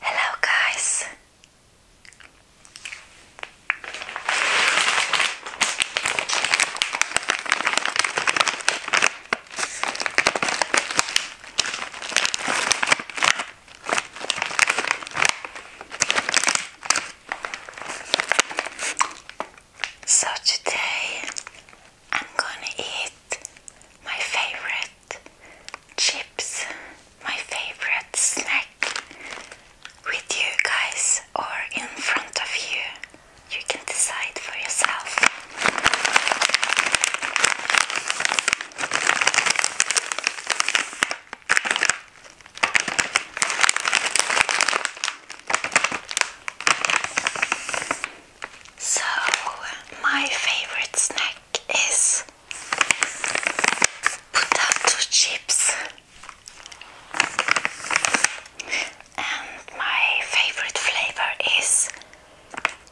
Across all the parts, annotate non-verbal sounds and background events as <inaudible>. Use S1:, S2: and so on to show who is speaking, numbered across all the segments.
S1: Hello, guys. So today I'm gonna eat my favorite chips, my favorite snack, with you guys or in front of you. You can decide for yourself. So, my favorite snack is potato chips. And my favorite flavor is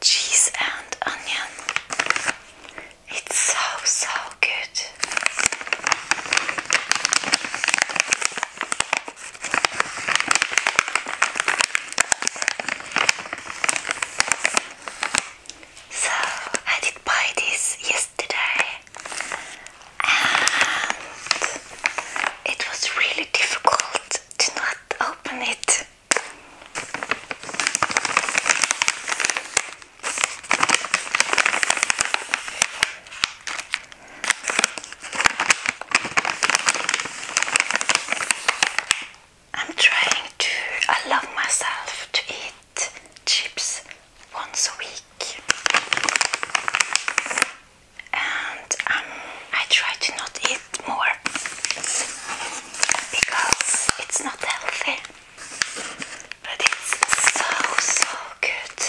S1: cheese and onion. It's so, so good. So I did buy this yesterday and it was really difficult to not open it. I'm trying to allow myself to eat chips once a week. And um, I try to not eat more because it's not healthy, but it's so so good.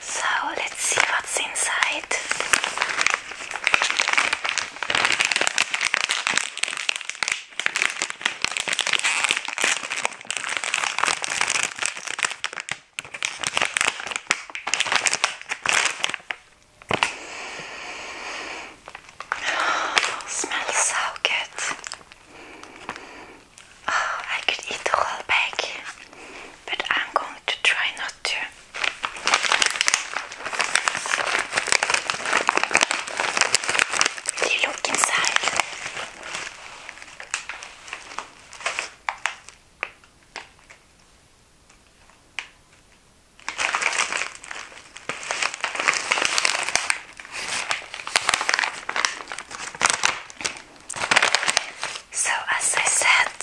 S1: So let's see what's inside. <gasps> smells so good. Oh, I could eat the whole bag, but I'm going to try not to. Will you look inside? So, as I said,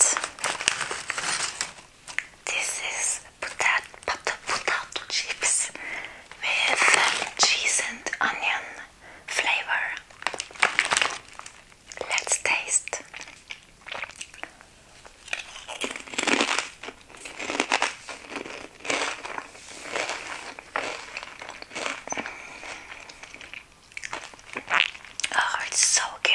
S1: this is potato, potato, potato chips with cheese and onion flavor. Let's taste. Oh, it's so good.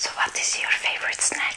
S1: So, what is your favorite snack?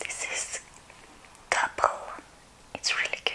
S1: This is double. It's really good.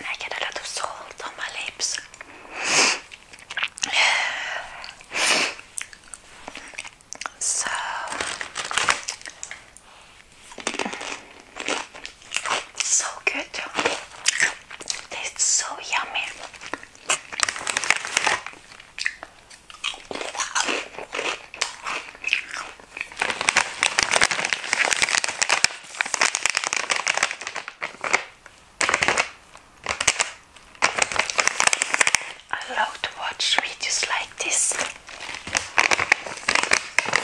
S1: I get a lot of salt on my lips. So so good. Tastes so yummy. I love to watch videos like this,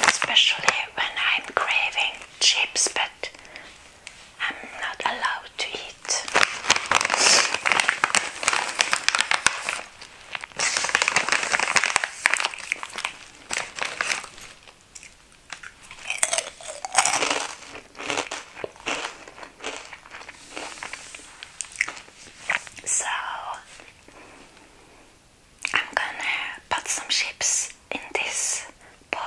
S1: especially when I'm craving chips, but I'm not allowed to eat. So I'm gonna put some chips in this bowl.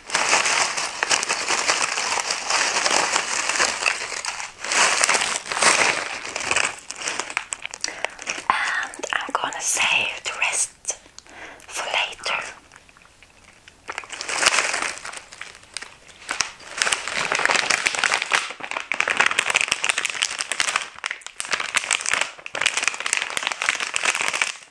S1: And I'm gonna save the rest for later.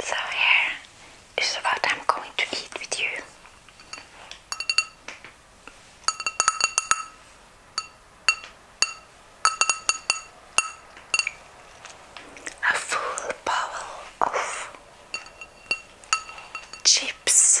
S1: So here is what I'm going to eat with you. A full bowl of chips.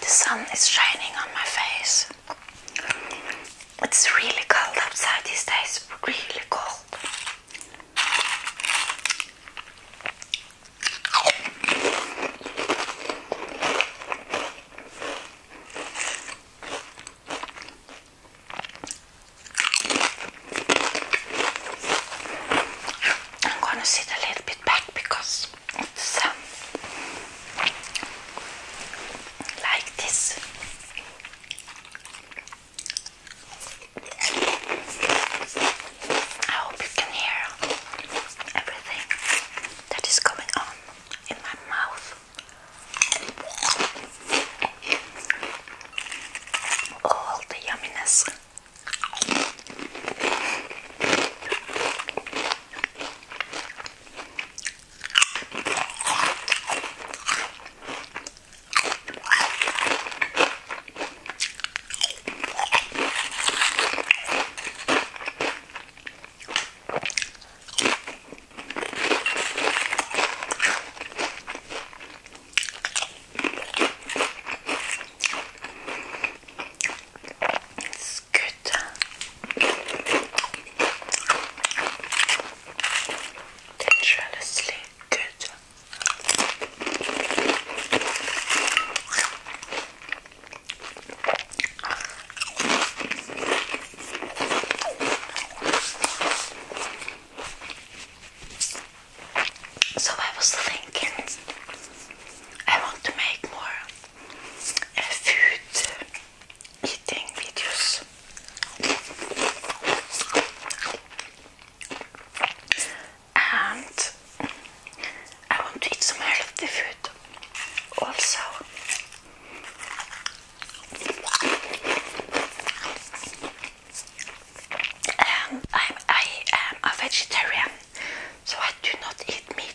S1: The sun is shining on my face. It's really cold outside these days, really cold. I'm gonna sit a little bit back because it's um, like this. I hope you can hear everything that is going on in my mouth. All oh, the yumminess. It's good. Dangerously good. So I was thinking I want to make more uh, food eating videos. And I want to eat some healthy food also. Um, I am a vegetarian, so I do not eat meat.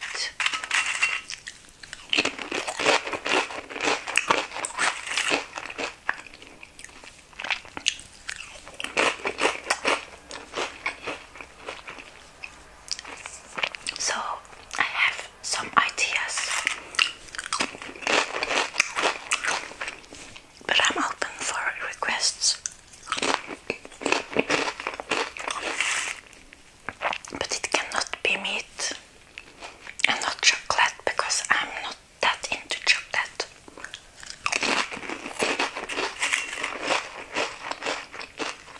S1: So I have some ideas, but I'm open for requests. But it cannot be meat and not chocolate because I'm not that into chocolate.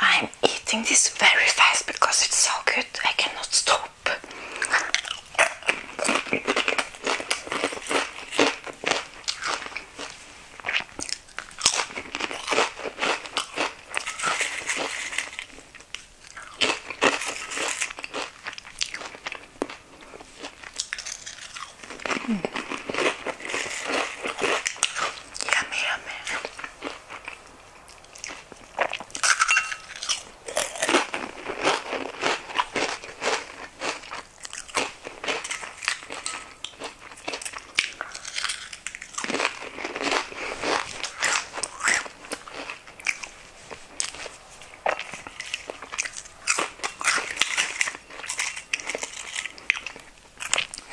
S1: I'm eating this very fast because it's so good, I cannot stop. うん、やめやめ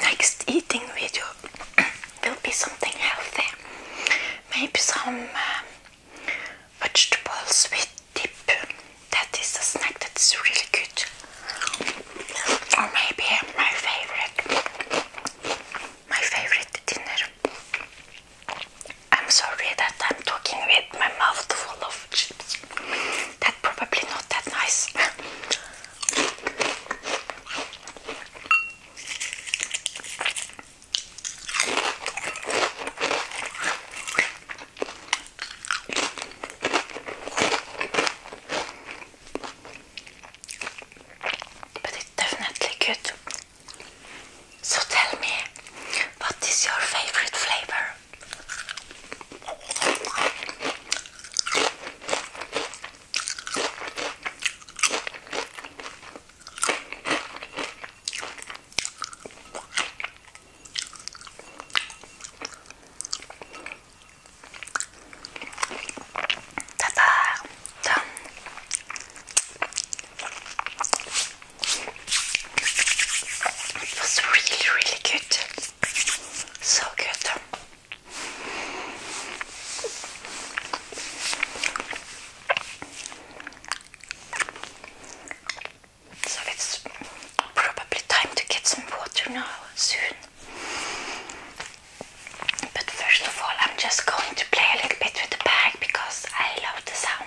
S1: Next eating video <clears throat> will be something healthy, maybe some uh, vegetables with dip. That is a snack that is really good, or maybe my favorite, my favorite dinner I'm sorry that I'm talking with my mouth full of chips. That's probably not that nice. But it's definitely good. So tell me, what is your favorite flavor? Ta-da! Done! It was really, really good. So good. So it's probably time to get some water now soon. But first of all, I'm just going to play a little bit with the bag because I love the sound.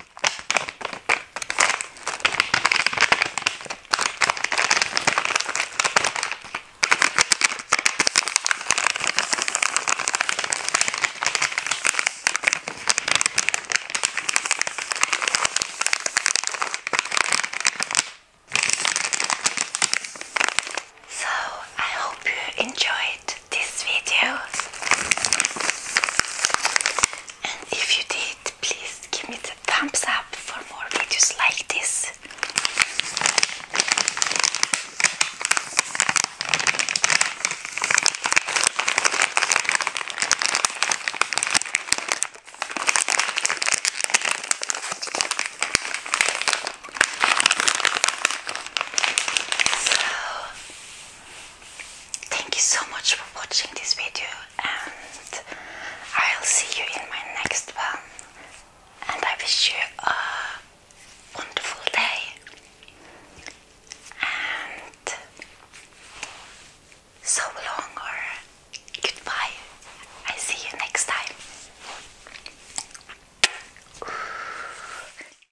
S1: So I hope you enjoyed this video. And if you did, please give me the thumbs up for more videos like this. So Thank you so much for watching this video, and I'll see you in my next one. And I wish you a wonderful day. And so long, or goodbye. I see you next time.